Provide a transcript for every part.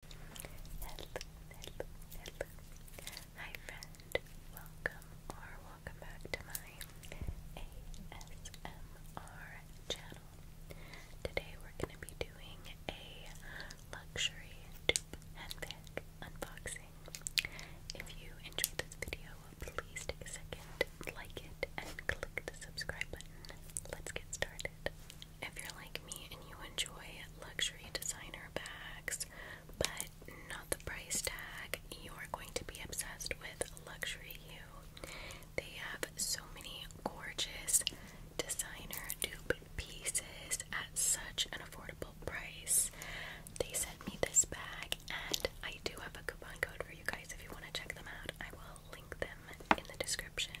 Hi, friend. Welcome or welcome back to my ASMR channel. Today we're going to be doing a luxury dupe unboxing. If you enjoyed this video, please take a second, like it, and click the subscribe button. Let's get started. If you're like me and you enjoy luxury designer bags, but not the price tag, you are going to be obsessed with Luxury You. They have so many gorgeous designer dupe pieces at such an affordable price. They sent me this bag, and I do have a coupon code for you guys if you want to check them out. I will link them in the description.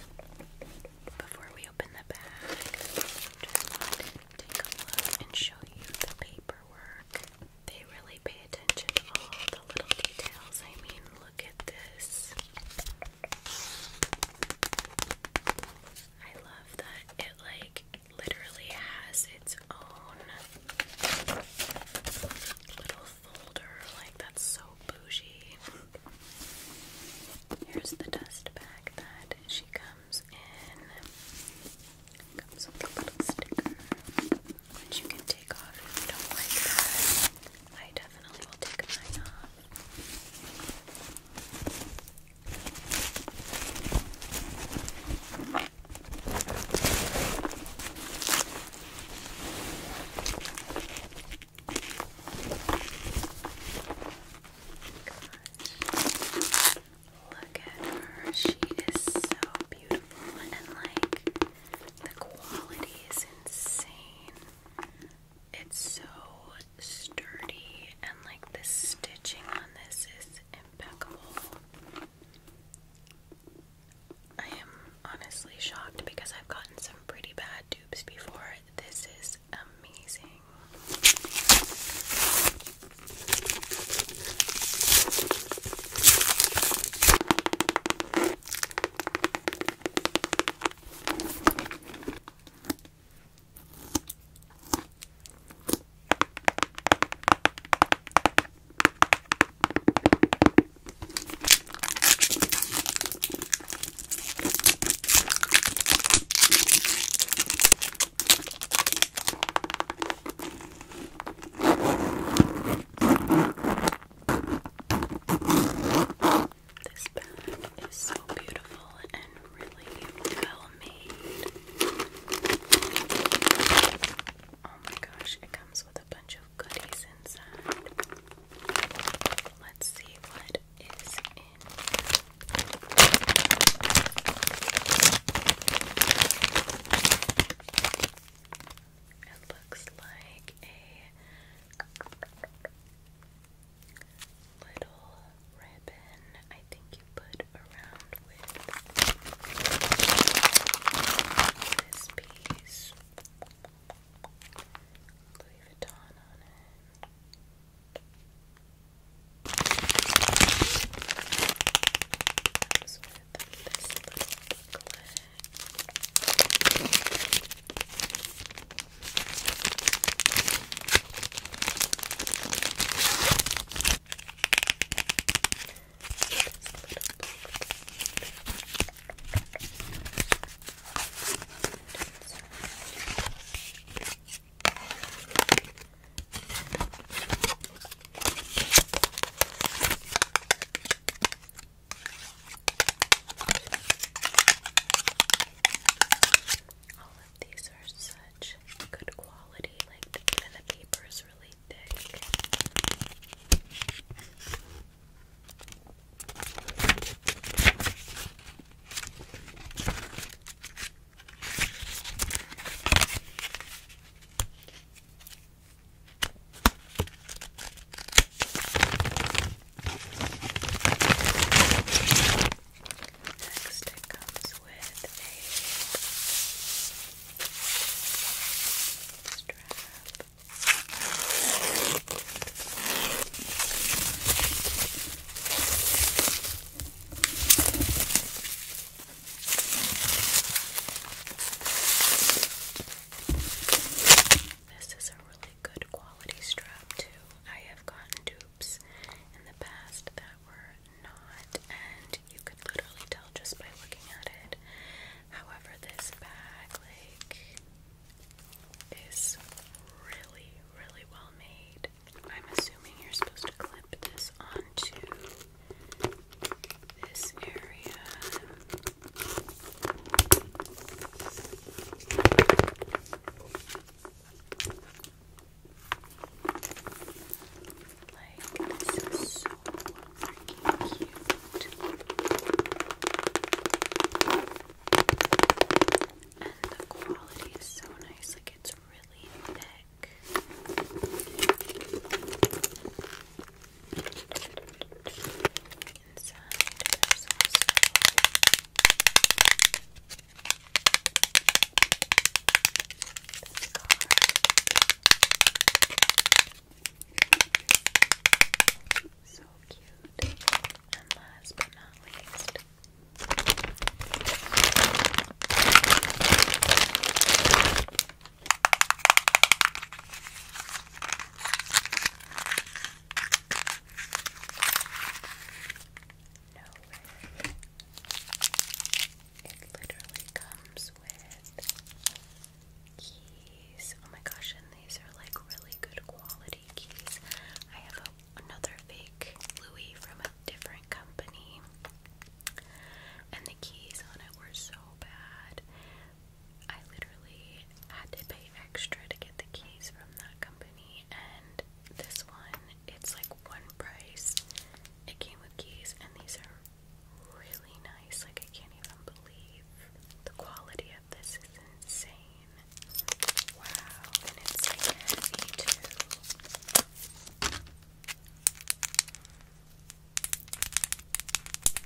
Before we open the bag, just take a look and show you the paperwork. They really pay attention to all the little details. I mean, look at this. I love that it like literally has its own little like, that's so bougie. Here's the dust bag that she comes in. Comes with a little sticker, which you can take off if you don't like that. I definitely will take mine off. Look at her. She is so beautiful and like the quality is insane. It's so sturdy and like the stitching on this is impeccable. I am honestly shocked because I've gotten some pretty bad dupes before. This is amazing. This bag is so beautiful and really well made. Oh my gosh, it comes with a bunch of goodies inside. Let's see what is in here. It looks like a little ribbon I think you put around with this piece Louis Vuitton on it. Comes with this little booklet. All of these are such good quality, like the, paper is really thick. Next, comes with a strap this is a really good quality strap too. I have gotten dupes in the past that were not, you could literally tell just by looking at it. However, this bag, like, is really, really well made. I'm assuming you're supposed to clip this onto this area. like this Thank you, And the quality is so nice, like it's really thick. Inside this card. So cute. And last but not least, no way. It literally comes with keys. Oh my gosh, and these are like really good quality keys. I have another fake Louis from a different company, and the keys on it were so bad. I literally had to pay extra to get the keys from that company, and this one, it's like one price. It came with keys, and these are really nice. Like, I can't even believe the quality of this is insane. Wow, and it's heavy too.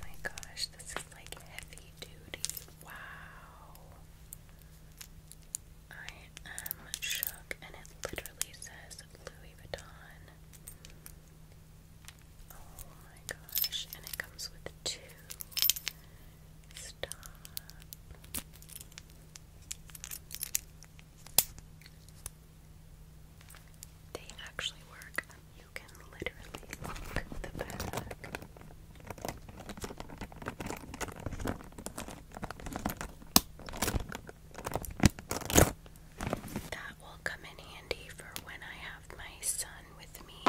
my gosh, this is like heavy duty. Wow. I am shook, and it literally says Louis Vuitton. Oh my gosh, and it comes with two. Stop. They actually work. You can literally lock the back. That will come in handy for when I have my son with me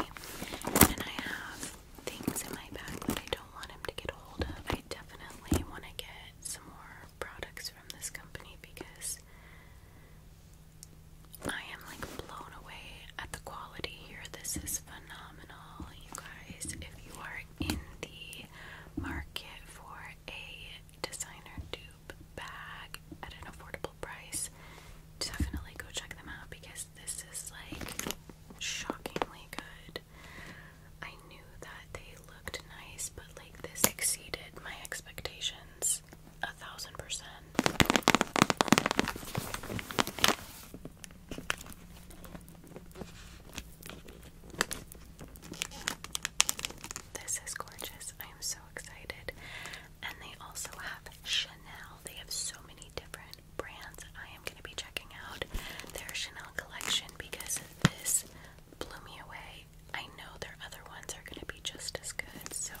and I have things in my bag that I don't want him to get hold of. I definitely want to get some more products from this company because I am like blown away at the quality here. This is phenomenal, you guys. If you are in the market for a designer dupe bag at an affordable price. Definitely go check them out because this is like shockingly good. I knew that they looked nice, but like this exceeded my expectations a thousand percent. This is gorgeous. I am so excited. And they also have Chanel. They have so many different brands. I am going to be checking out their Chanel collection because this blew me away. I know their other ones are going to be just as good. So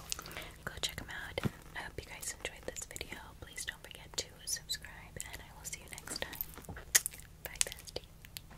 go check them out. I hope you guys enjoyed this video. Please don't forget to subscribe, and I will see you next time. Bye, bestie.